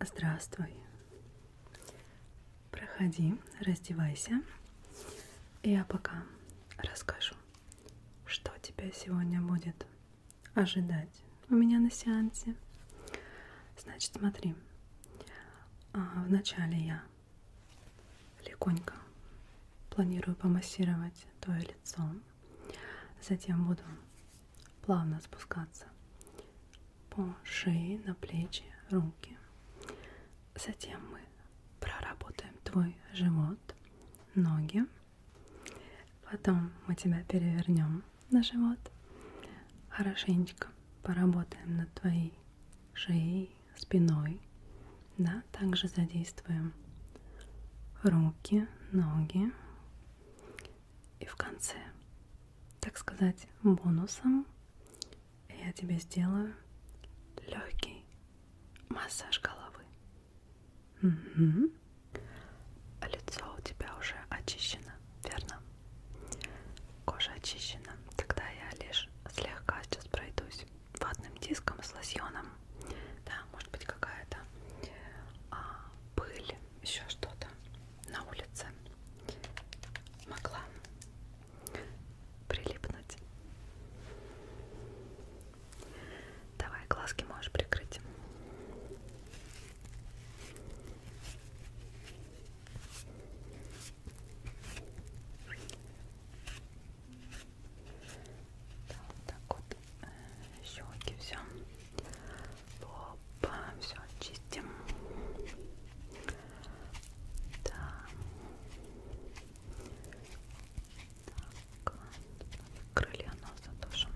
Здравствуй. Проходи, раздевайся. Я пока расскажу, что тебя сегодня будет ожидать у меня на сеансе. Значит, смотри. А, вначале я легонько планирую помассировать твое лицо. Затем буду плавно спускаться по шее, на плечи, руки. Затем мы проработаем твой живот, ноги. Потом мы тебя перевернем на живот. Хорошенечко поработаем над твоей шеей, спиной. Да, также задействуем руки, ноги. И в конце, так сказать, бонусом я тебе сделаю легкий массаж головы. Угу. Лицо у тебя уже очищено, верно? Кожа очищена. Тогда я лишь слегка сейчас пройдусь ватным диском с лосьоном да, может быть какая-то а, пыль, еще что-то на улице могла прилипнуть. Давай глазки можешь прикрыть. Так, вот так вот щеки, все. Лоб, все очистим. Да. Так, крылья носа тоже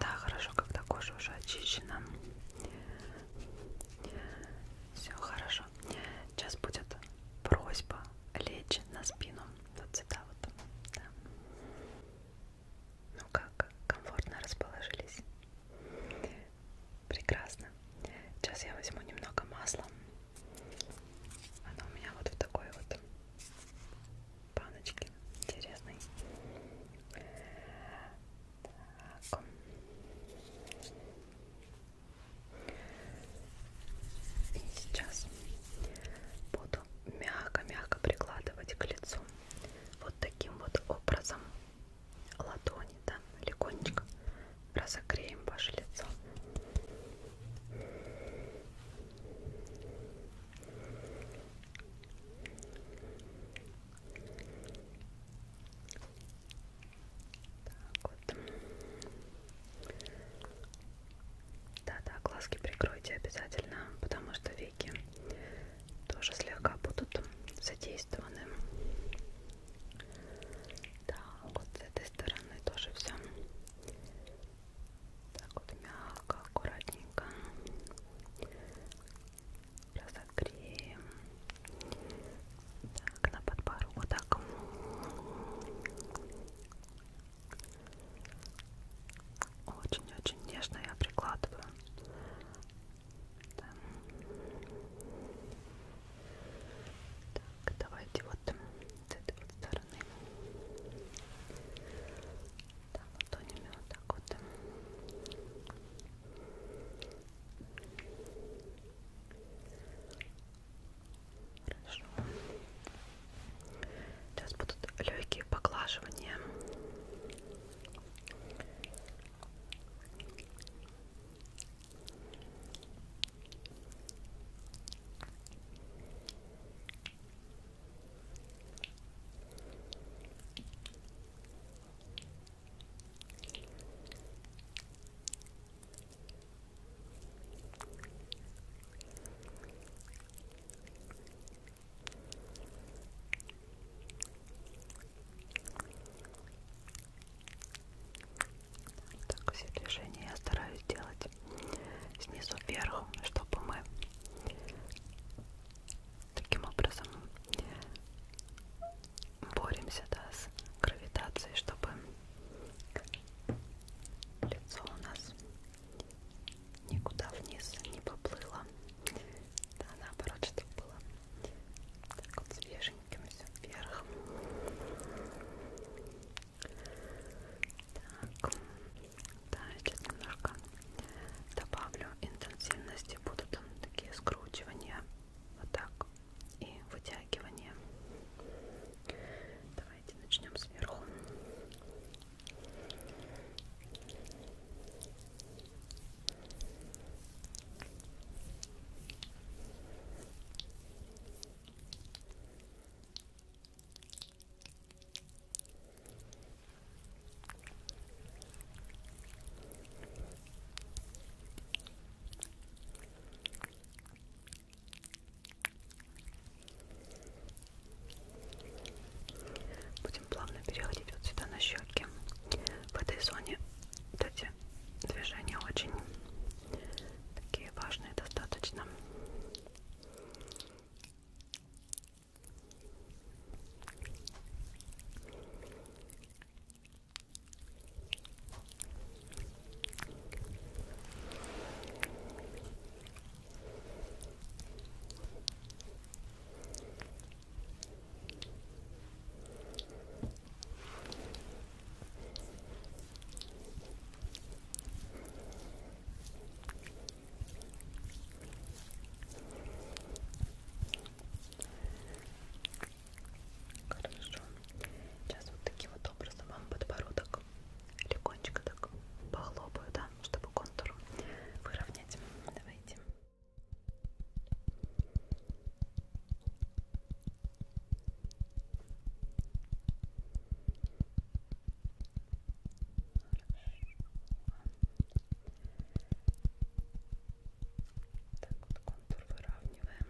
Да, хорошо, когда кожа уже очищена. Все хорошо тоже. Сейчас будет просьба лечь на спину. Вот сюда вот. Да. Ну как, комфортно расположились? Прекрасно. Сейчас я возьму немного масла. Оно у меня вот в такой вот баночке. Интересный. Так. И сейчас буду мягко-мягко прикладывать к лицу вот таким вот образом ладони, да, легонечко разогреем ваше лицо. Так вот. Да-да, глазки прикройте обязательно, потому что веки тоже слегка будут задействованы. Да, вот с этой стороны тоже все. Так вот мягко, аккуратненько. Разогреем. Так, на подбородок. Вот так. Очень-очень нежно я прикладываю. Да. Так, давайте вот с этой вот стороны. Да, ладонями вот так вот. Хорошо. Сейчас будут легкие поглаживания. Хорошо. Так, все движения я стараюсь делать снизу вверх, чтобы мы таким образом боремся да, с гравитацией, чтобы Лицо у нас никуда вниз не поплыло. Да, наоборот, чтобы было так вот свеженьким все вверх. Так, да, сейчас немножко добавлю интенсивности. Будут там такие скручивания. Вот так и вытягивание. Давайте начнем сверху. Будем плавно переходить вот сюда на щеки. В этой зоне вот эти движения очень такие важные достаточно. Ладно, Хорошо. Сейчас вот таким вот образом вам подбородок легонечко так похлопаю, да, чтобы контур выровнять. Давайте. Так вот контур выравниваем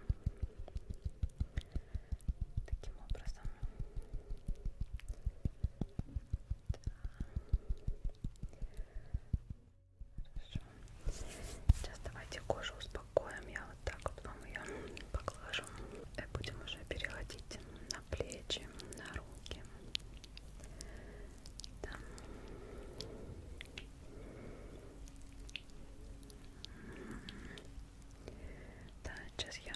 таким образом. Да. Хорошо. Сейчас давайте кожу успокоим. Я вот так вот вам ее поглажу. И будем уже переходить на плечи, на руки. Да. Да, сейчас я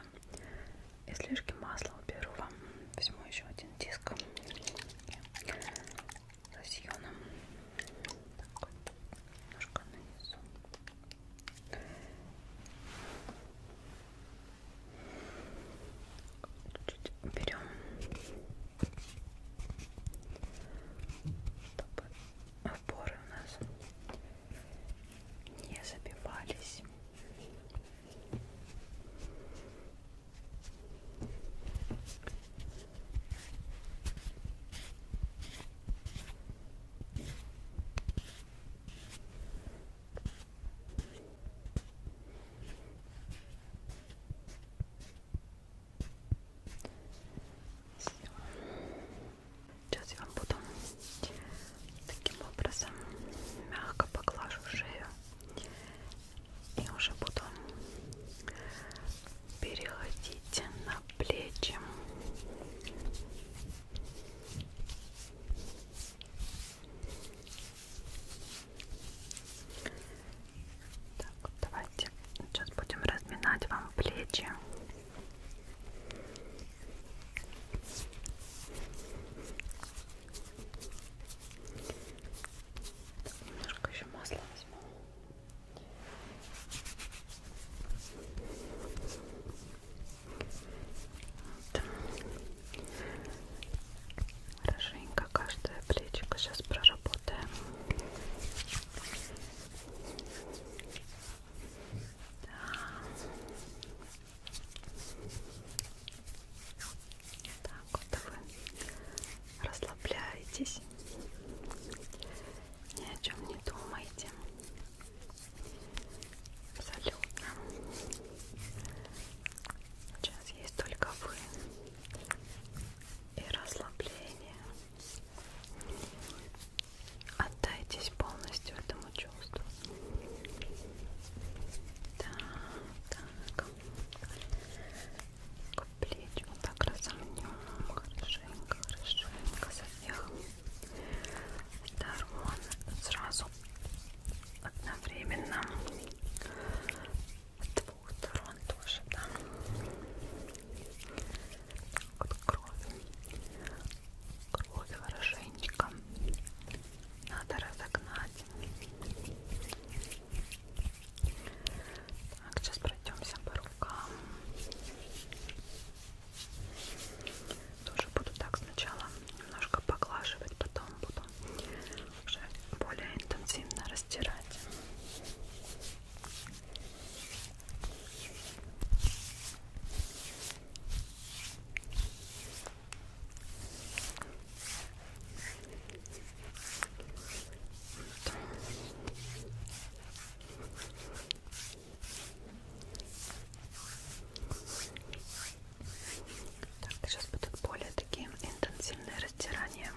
излишки масла уберу вам. Возьму еще один диск лосьоном. Так вот, немножко нанесу. Чуть-чуть уберем. Чтобы опоры у нас не забивались. Все. Сейчас я вам буду таким образом мягко поглажу шею и уже буду переходить на плечи. Так, давайте сейчас будем разминать вам плечи. Немножко еще масла возьму. Вот. Хорошенько каждая плечика сейчас проработаем. Да. Так вот вы расслабляетесь, ни о чем не думаете. Абсолютно. Сейчас есть только вы и расслабление. Отдайтесь полностью этому чувству. Так, так. Плечи вот так разомнем. Хорошенько, хорошенько. Со всех сторон. Сразу одновременно. С двух сторон тоже, да. Вот кровь. Кровь хорошенечко. Надо разогнать. Так, сейчас пройдемся по рукам. Тоже буду так сначала немножко поглаживать, потом буду уже более интенсивно растирать. Так, сейчас будут более такие интенсивные растирания.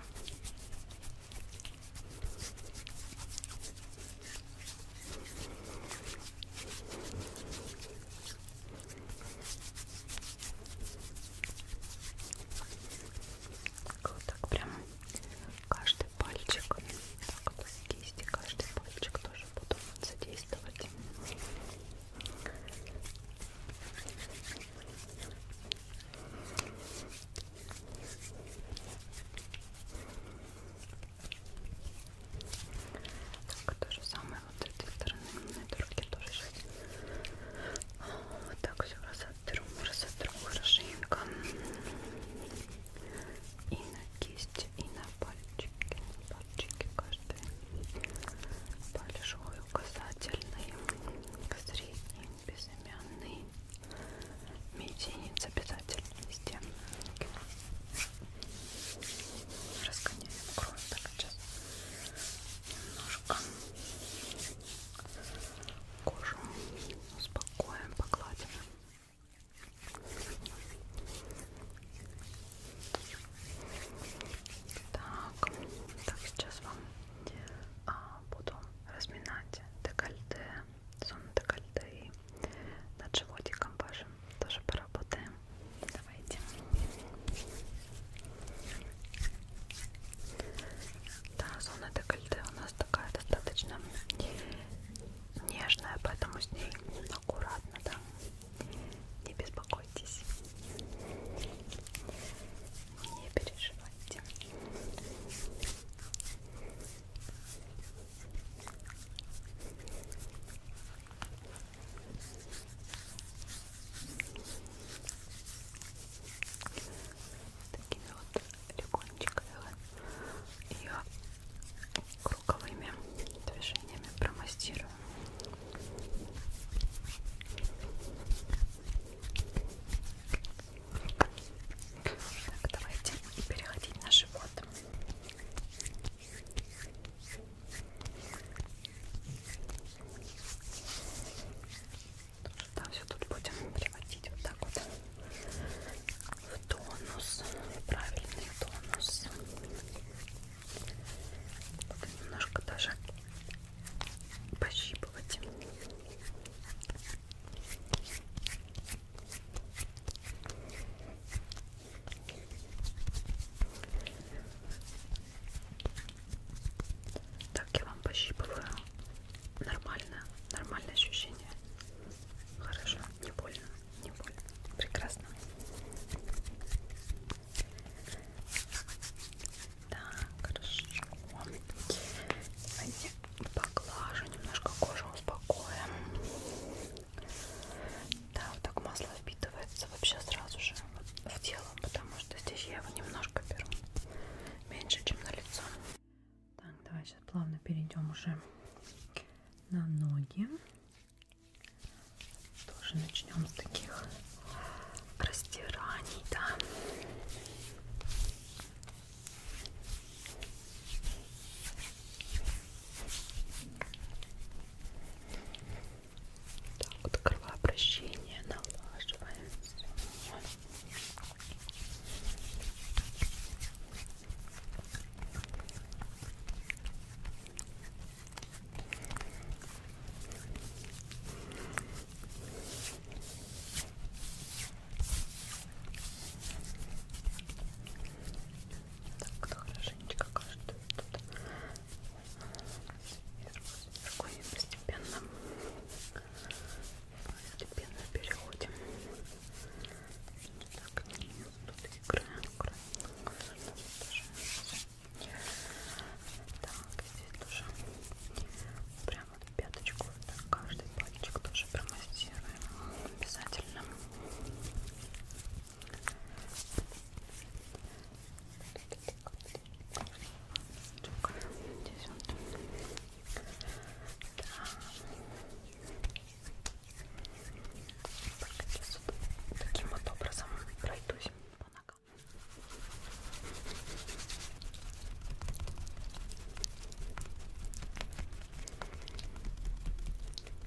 Вот так прям каждый пальчик, так вот с кисти каждый пальчик тоже буду вот задействовать. Так, то же самое вот с этой стороны, на этой руке тоже сейчас. Вот так все разотру, разотру хорошенько. И на кисти, и на пальчики, на пальчики каждый. Большой, указательный, средний, безымянный. Мизинец обязательно везде. Разгоняем кровь так сейчас немножко кожу успокоим, погладим. Так, так сейчас вам а, буду разминать декольте, зону декольте и над животиком вашим тоже поработаем. Давайте. Да, зона декольте у нас такая достаточно нежная, поэтому с ней аккуратно, да. Не беспокойтесь. Не переживайте такими вот легонечками ее круговыми движениями промастирую. Так, давайте переходить на живот. Да, все тут будем приводить вот так вот в тонус, в правильный тонус. Только немножко даже пощипывать. Так я вам пощипываю. Нормально, нормальное ощущение. Хорошо, не больно, не больно. Прекрасно. Так, хорошо. Давайте поглажу немножко кожу, успокоим. Да, вот так масло впитывается вообще сразу же в тело, потому что здесь я его немножко беру, меньше, чем на лицо. Так, давай сейчас плавно перейдем уже на ноги. Тоже начнем с таких растираний, да. Так, вот кровообращение налаживаем. Так, хорошенечко каждую тут сверху сверху постепенно постепенно переходим так, тут играем, играем. так, здесь тоже прямо в пяточку так, каждый пальчик тоже промассируем обязательно Здесь вот. Да. Таким вот образом пройдусь по ногам чтобы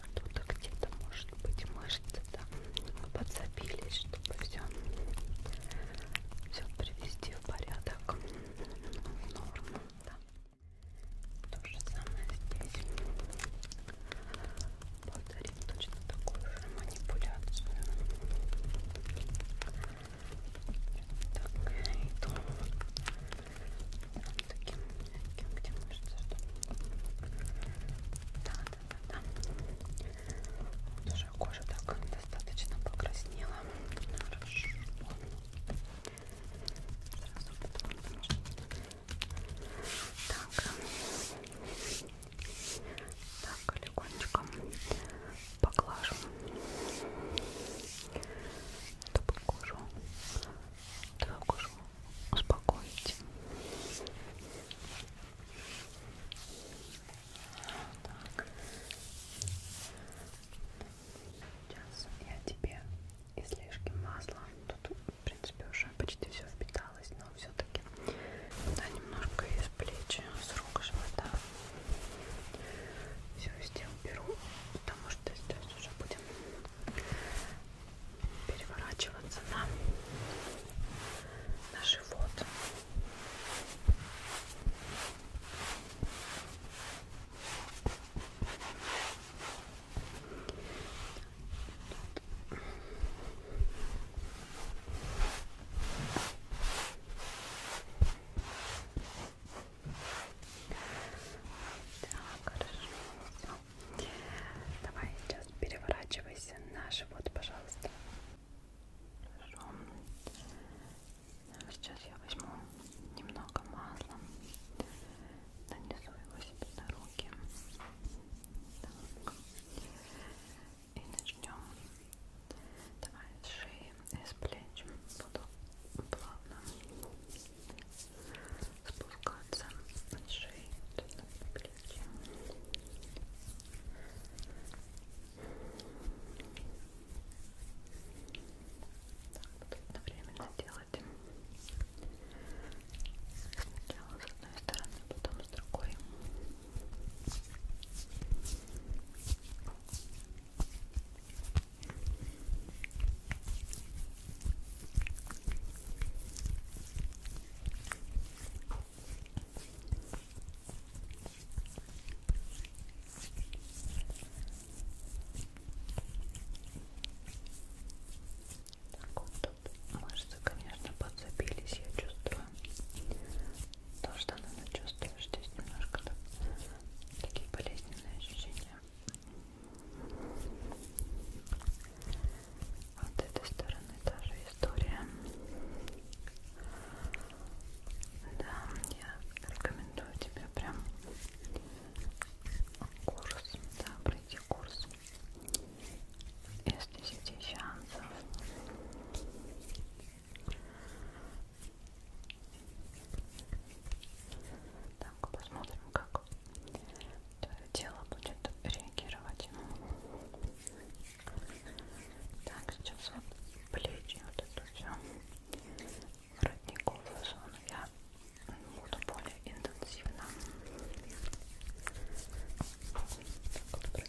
кто-то где-то может быть мышцы там подзабились, чтобы все все привести в порядок, ну, в норму. Да. То же самое здесь. Повторим точно такую же манипуляцию. Так, иду вот таким мягким, где мышцы, чтобы... Да, да, да, да. Вот уже кожа так достаточно покраснела. Хорошо. Сразу потом... Так. Так, легонечко поглажу, чтобы кожу, твою кожу успокоить. Так. Сейчас я тебе излишки масла, тут в принципе уже почти все впиталось, но все-таки да, немножко из плечи, с рук, живота все везде уберу, потому что сейчас уже будем переворачиваться на, на живот. Сейчас так, хорошо, все. Давай сейчас переворачивайся на живот, пожалуйста. Хорошо. Сейчас я возьму немного масла, нанесу его себе на руки. Так. И начнем Давай с шеи и с плеч буду плавно спускаться от шеи на плечи. Так, буду одновременно делать сначала с одной стороны, потом с другой. Так, так вот тут мышцы, конечно, подцепились, я чувствую то, что она чувствуешь, здесь немножко так, такие болезненные ощущения. А вот этой стороны та же история. Да, я рекомендую тебе прям курс, да, пройти курс из 10 сеансов так, посмотрим, как твое тело будет реагировать. Так, сейчас вот плечи, вот это все, воротниковую зону я буду более интенсивно так, вот,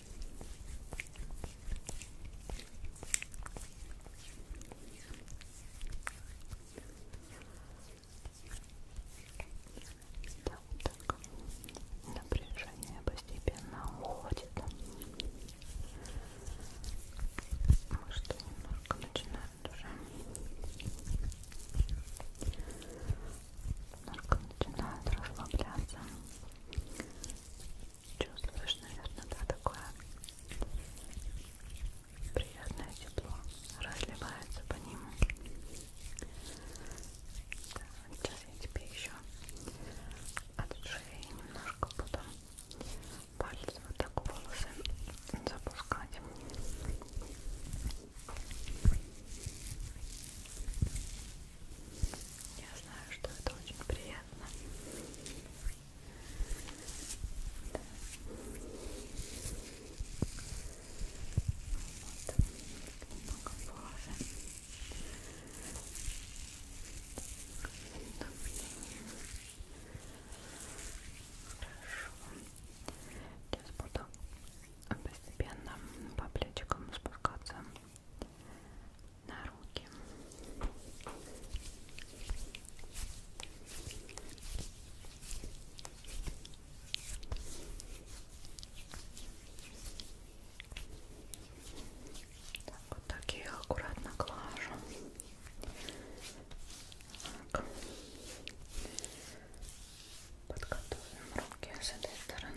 так напряжение постепенно уходит мышцы немножко начинают уже немножко начинают расслабляться Чувствуешь, наверное, да, такое приятное тепло разливается по нему. Да, сейчас я тебе еще от шеи немножко буду пальцы вот так в волосы запускать. Я знаю, что это очень приятно. Да. Вот. Много пары. Да. Хорошо. Сейчас буду постепенно по плечикам спускаться на руки. Так, вот так я их аккуратно глажу. Так. Подготовим руки с этой стороны.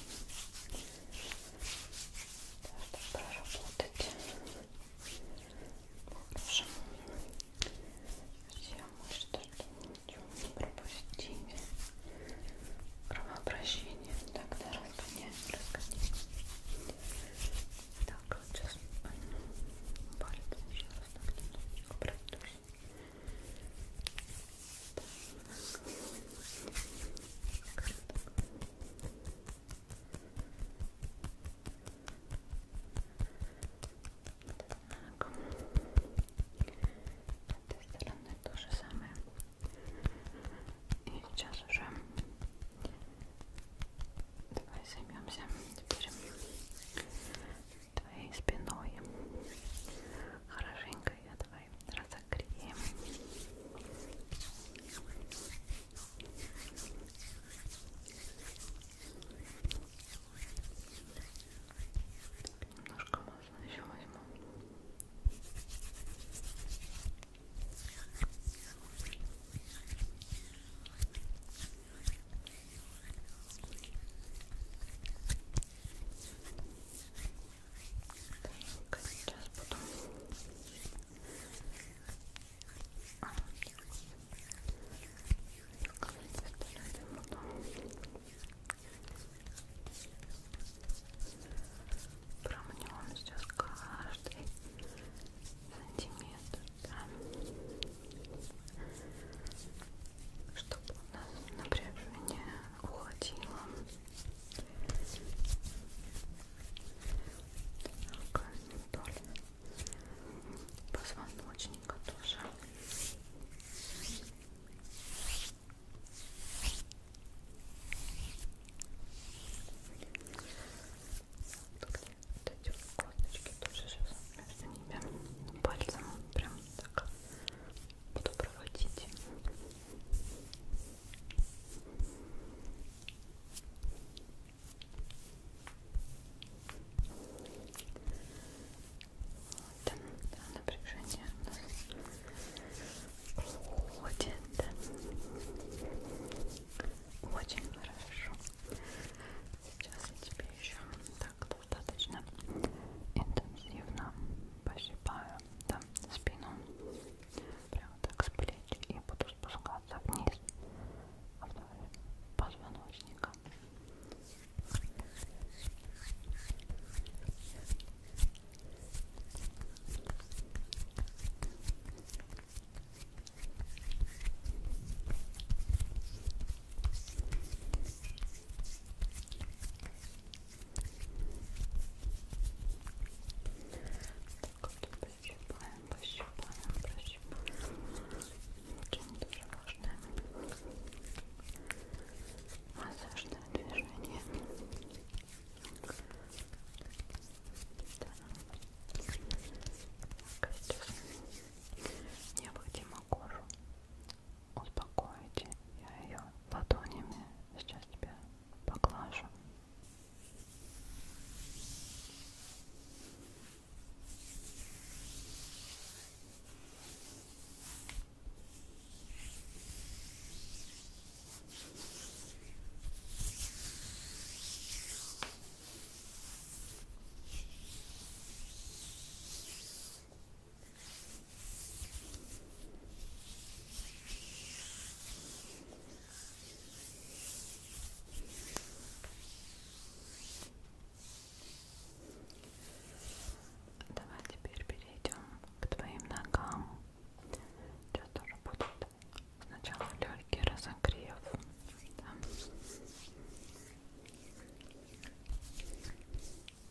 чтобы проработать Можем все мышцы, чтобы ничего не пропустили кровообращение тогда разгоняем, разгоняем так, вот сейчас палец еще раз так немножечко продушу этой стороны то же самое. И сейчас уже давай займемся теперь твоей спиной. Хорошенько я давай давай разогреем. Немножко можно еще возьму. Ой, так, сейчас буду. А. Так, буду. Промнем сейчас каждый сантиметр. Да? чтобы у нас напряжение уходило. Так, вдоль позвоночника тоже. Тут вот эти косточки тоже сейчас между ними пальцем прям так буду проводить. Вот, напряжение у нас уходит. Очень хорошо. Сейчас я тебе еще так достаточно интенсивно посыпаю да, спину прямо так с плеч и буду спускаться вниз вдоль позвоночника так вот прощупаем, прощупаем, прощупаем. Очень тоже важное массажное движение. Да. Так, сейчас необходимо кожу успокоите. Я ее ладонями сейчас тебя поглажу. Давай теперь перейдем к твоим ногам. Сейчас тоже будет сначала легкий разогрев. Да.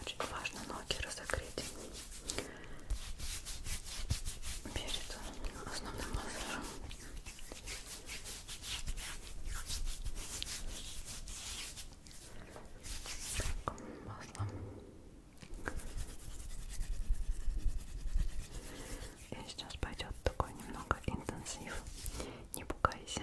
Очень важно ноги разогреть перед основным массажем. Так, масло. И сейчас пойдет такой немного интенсив. Не пугайся.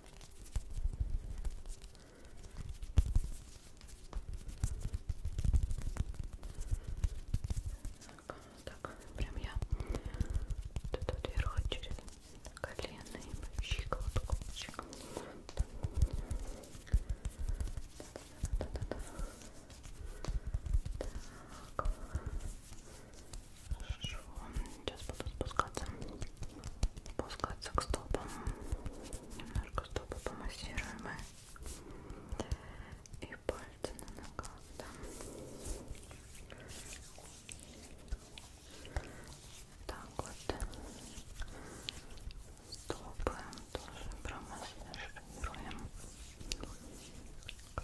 Так, так, прям я тут вот вверх через колено и щиколотку. щиколотку. Да, да, да, да, да. Так. Хорошо. Сейчас буду спускаться. Спускаться к стопам. Немножко стопы помассируем. И пальцы на ногах. Да. Так вот. Стопы тоже промассируем.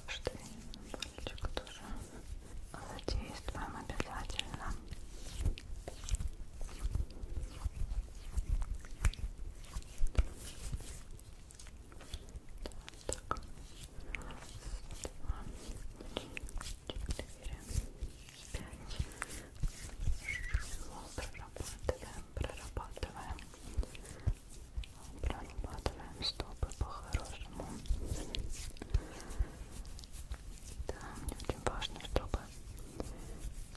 Каждый пальчик тоже задействуем обязательно. Так. Два, четыре, пять. Шесть. Прорабатываем, прорабатываем. Прорабатываем, чтобы по-хорошему да, мне очень важно, чтобы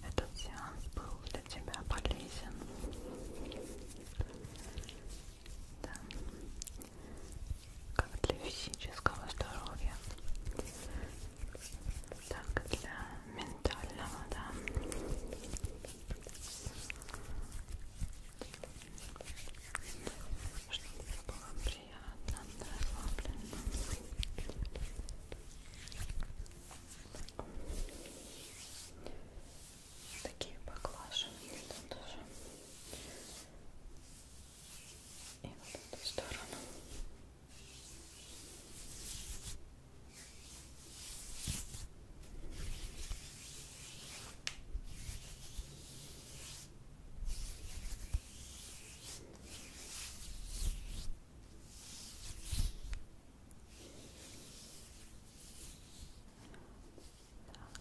этот сеанс был для тебя полезен. Да. Как для физического здоровья, так и для ментального, да. Чтобы было приятно, расслабленно. Такие поглаживания тут тоже. И вот в эту сторону.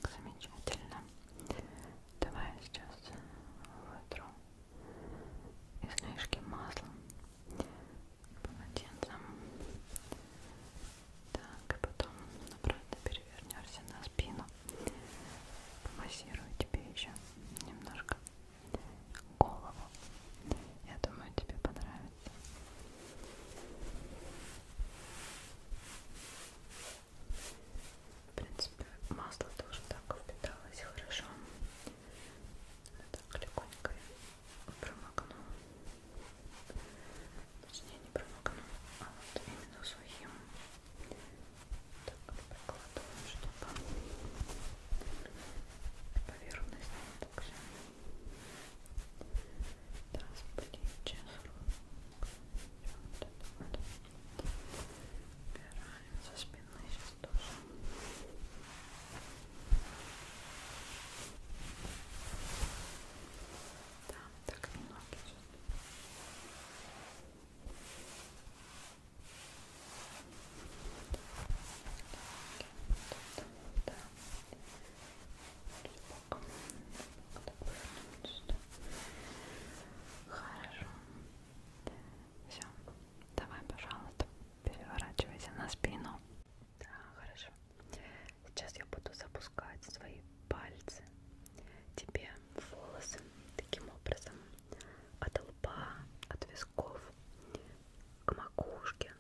Так, замечательно. Давай я сейчас вытру излишки маслом, полотенцем. Так, и потом обратно перевернешься на спину. Массирую тебе еще немножко голову. Я думаю, тебе понравится. В принципе, масло тоже так впиталось хорошо. Так легонько я промокну. Точнее, не промокну, а вот именно сухим так прикладываем, чтобы поверхность не так же да, с плечи вот вот. убираем со спины сейчас тоже да, так немного сейчас Хорошо. Все. Давай, пожалуйста, переворачивайся на спину. Да, хорошо. Сейчас я буду запускать свои пальцы тебе волосы таким образом от лба, от висков к макушке,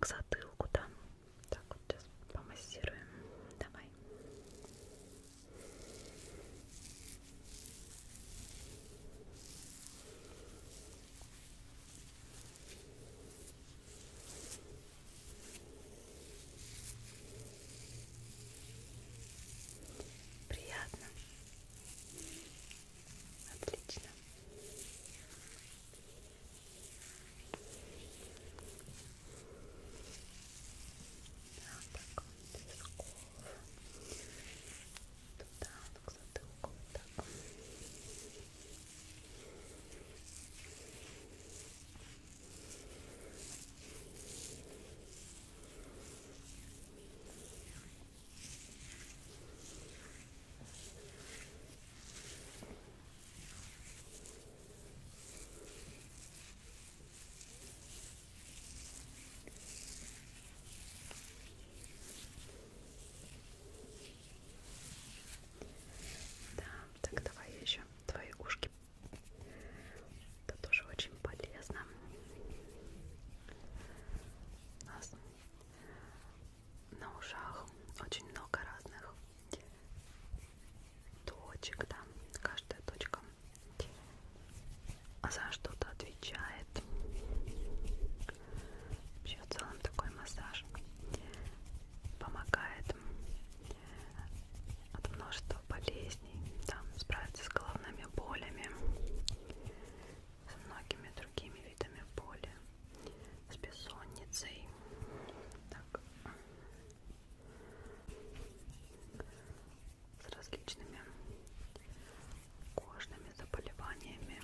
к затылку там. Так вот сейчас помассируем. Давай. Хорошо. Приятно. Отлично. Вот так вот, Туда, вот к затылку, вот так. Да, так давай еще твои ушки это тоже очень полезно. У нас на ушах очень много разных точек, да, каждая точка за что-то отвечает. Вообще в целом такой массаж помогает от множества болезней, да, справиться с головными болями, с многими другими видами боли, с бессонницей. Так. С различными кожными заболеваниями.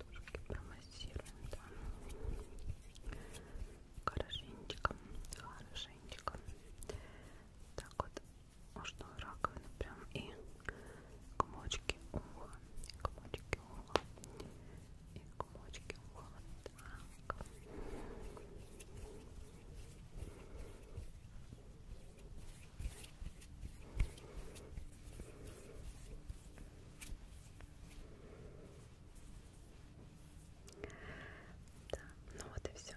Так, промассируем, да хорошенечко, хорошенечко. Так вот, можно раковину прям и комочки уха, комочки уха, и комочки уха. Так. Так, да, ну вот и все.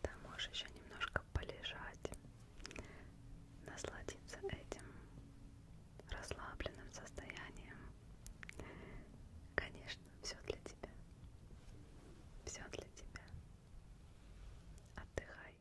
Там да, можешь еще немножко полежать, насладиться этим расслабленным состоянием. Конечно, все для тебя. Все для тебя. Отдыхай.